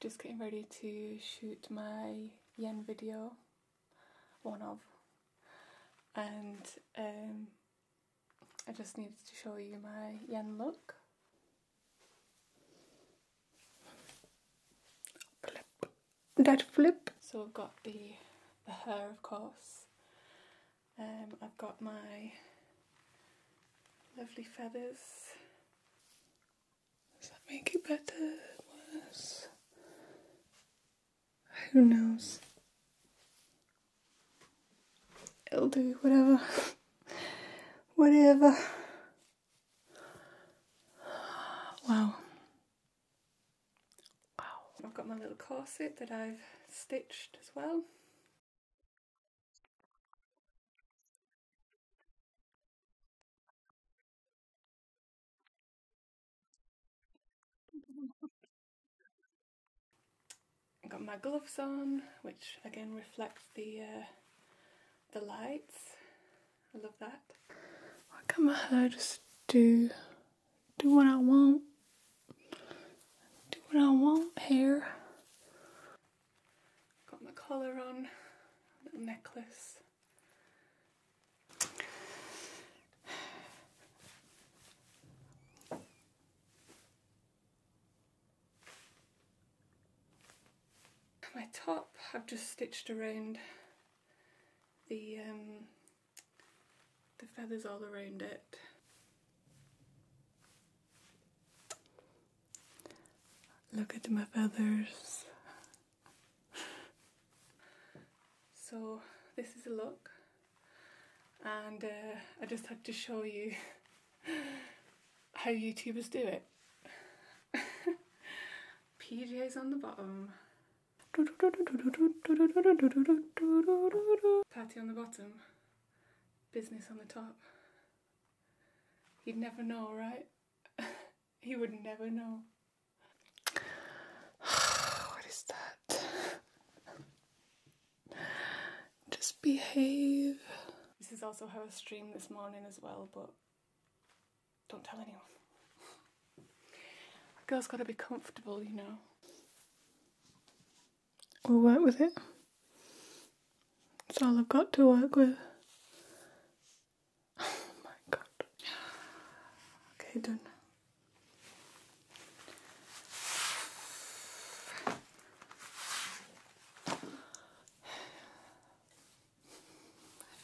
Just getting ready to shoot my yen video, one of, and um, I just needed to show you my yen look. That flip. So I've got the, the hair of course, um, I've got my lovely feathers does that make it better? Who knows? i will do, whatever. whatever. Wow. Wow. I've got my little corset that I've stitched as well. I've got my gloves on, which again reflects the uh, the lights. I love that. Why can't my hair just do do what I want? Do what I want here. Got my collar on, little necklace. My top, I've just stitched around the um, the feathers all around it. Look at my feathers. so this is a look and uh, I just had to show you how YouTubers do it. PJs on the bottom. Patty on the bottom. Business on the top. He'd never know, right? he would never know. what is that? Just behave. This is also how I stream this morning as well, but don't tell anyone. A girl's gotta be comfortable, you know we'll work with it. It's all I've got to work with. Oh my god. Okay, done.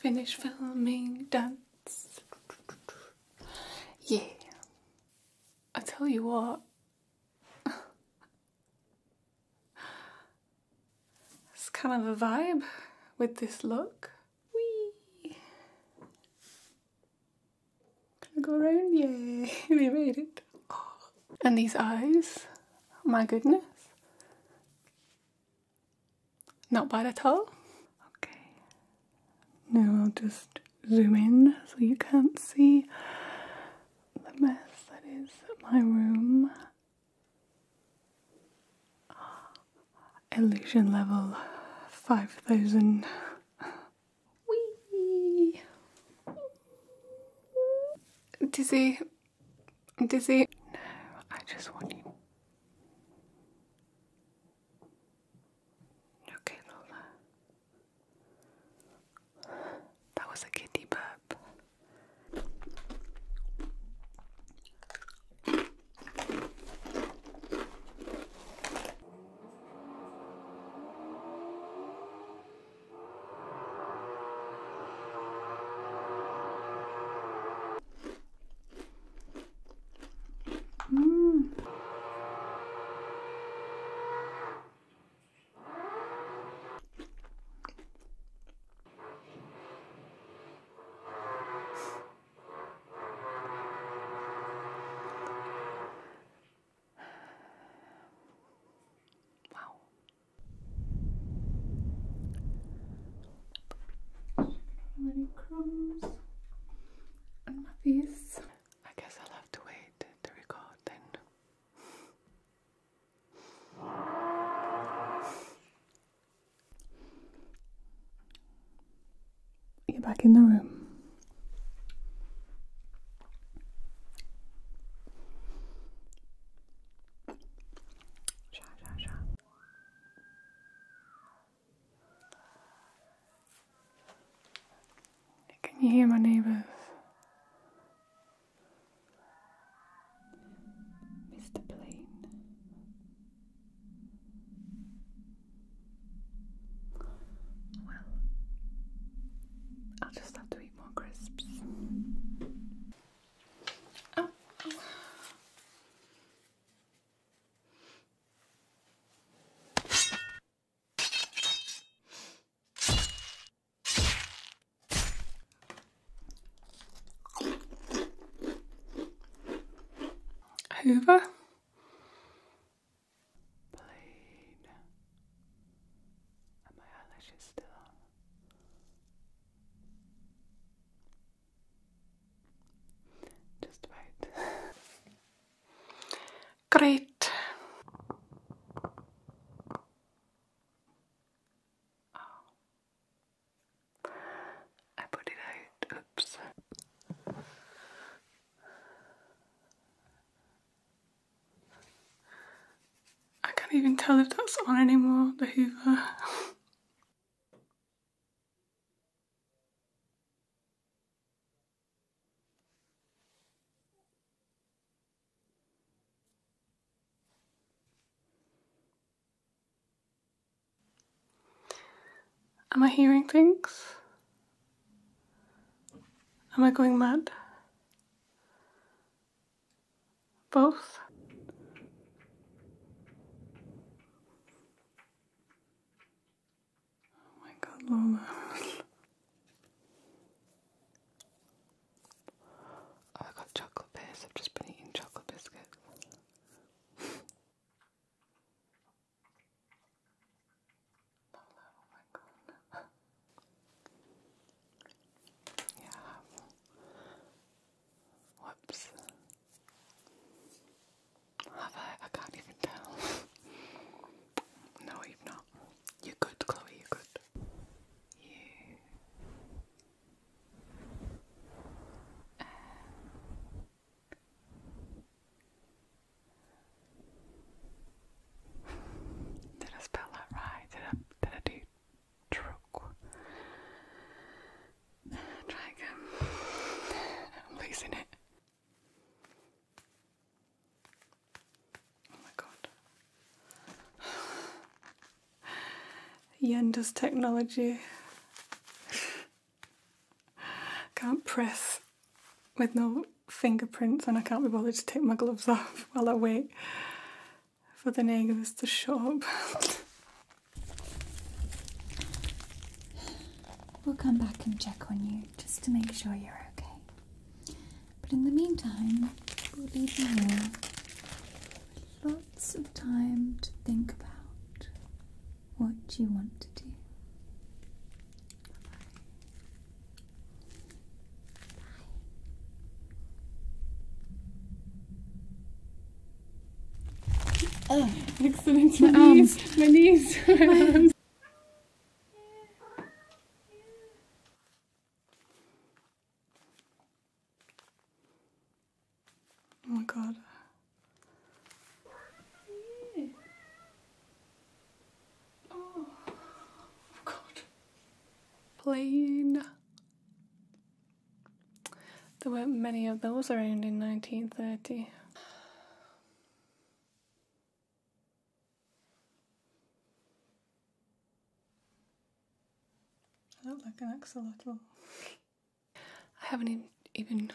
Finish filming, dance. Yeah. I tell you what, it's kind of a vibe with this look. Whee! Gonna go around, yay, we made it. And these eyes, my goodness. Not bad at all. Okay, now I'll just zoom in so you can't see the mess that is my room. Illusion level 5000. Wee! Dizzy. Dizzy. No, I just want you. Okay, Lola. That was a kitty burp. Mm. Wow. Little crumbs on my face. I guess I'll have to wait to record then. You're back in the room. Sha, sha, sha. Can you hear my neighbours? Mr. Plain. Well, I'll just have to eat more crisps. Oh, oh. Hoover. Blade. Are my eyelashes still on? Just about. Great. Oh. I put it out. Oops. I can't even tell if that's on anymore, the Am I hearing things? Am I going mad? Both? Oh my god, Lola. I got chocolate bars. I've just been eating chocolate biscuits. Lola, oh my god. yeah, Whoops. Have I? I can't even tell. no, you've not. You're good, Chloe, you're good. did I spell that right? Did I, did I do truck? Try again. I'm losing it. Oh my god. Yender's technology. can't press with no fingerprints and I can't be bothered to take my gloves off while I wait for the negatives to show up. We'll come back and check on you just to make sure you're okay. But in the meantime, we'll leave you lots of time to think about what you want to do. Bye. Bye. Oh, accident. My, arms. knees. My knees. Oh my god. Oh, oh God. Plane. There weren't many of those around in 1930. I look like an axolotl. I haven't even. even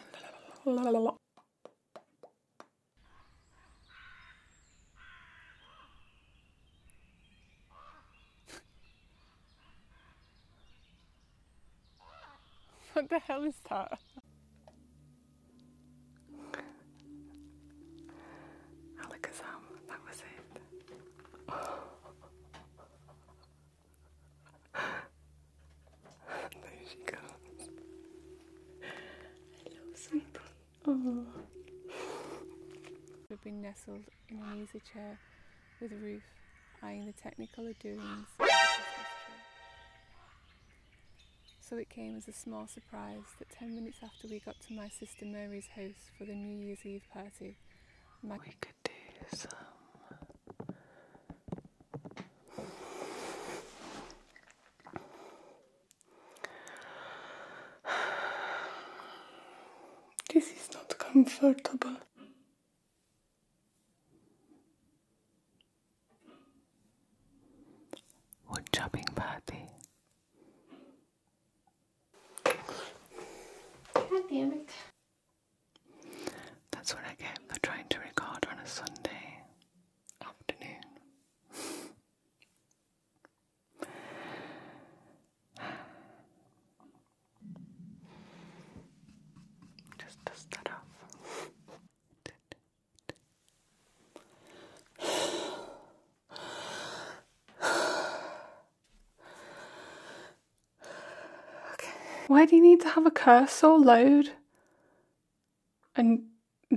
what the hell is that? Alakazam, that was it. there she goes. Hello, sweetie. Oh. We've been nestled in an easy chair with Ruth eyeing the technical doings. So it came as a small surprise that 10 minutes after we got to my sister Mary's house for the New Year's Eve party, we could do some this is not comfortable. Wood chopping party. God damn it. That's what I get for trying to record on a Sunday afternoon. Just dust that off. Okay. Why do you need to have a cursor load and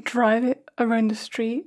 drive it around the street?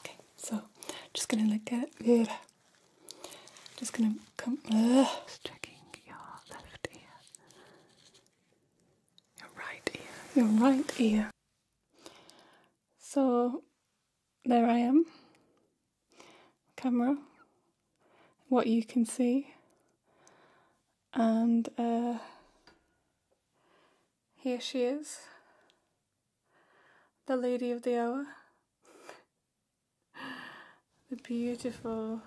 Okay, so just gonna look at it. Just gonna come. Uh, checking your left ear, your right ear, your right ear. So there I am. Camera. What you can see. And uh, here she is the lady of the hour, the beautiful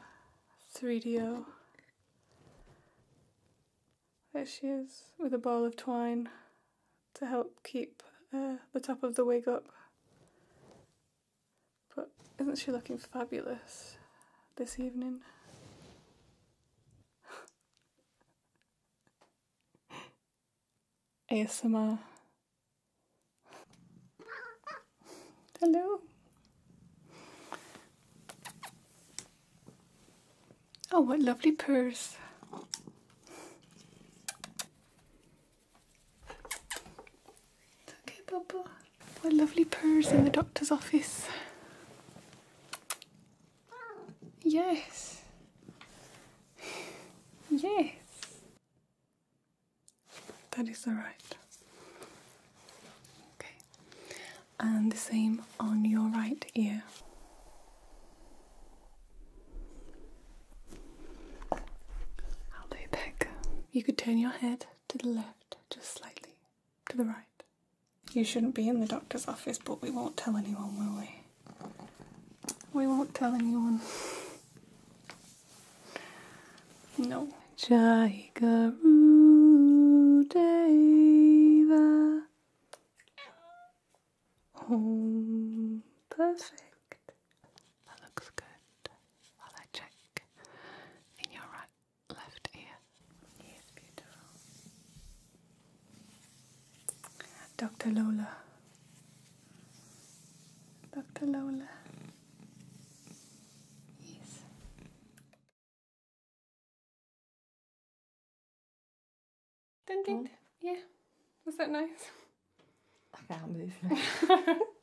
3DO. There she is with a ball of twine to help keep uh, the top of the wig up. But isn't she looking fabulous this evening? ASMR. Hello. Oh, what lovely purrs. It's okay, Bubba. What lovely purrs in the doctor's office. Yes. Yes. That is alright. Okay. And the same on your right ear. I'll do back. You could turn your head to the left just slightly to the right. You shouldn't be in the doctor's office, but we won't tell anyone, will we? We won't tell anyone. No. Oh, perfect. That looks good. While I check in your right left ear. Yes, beautiful. Dr. Lola. Dr. Lola. Yes. Ding ding. Hmm? Yeah. Was that nice? I can't move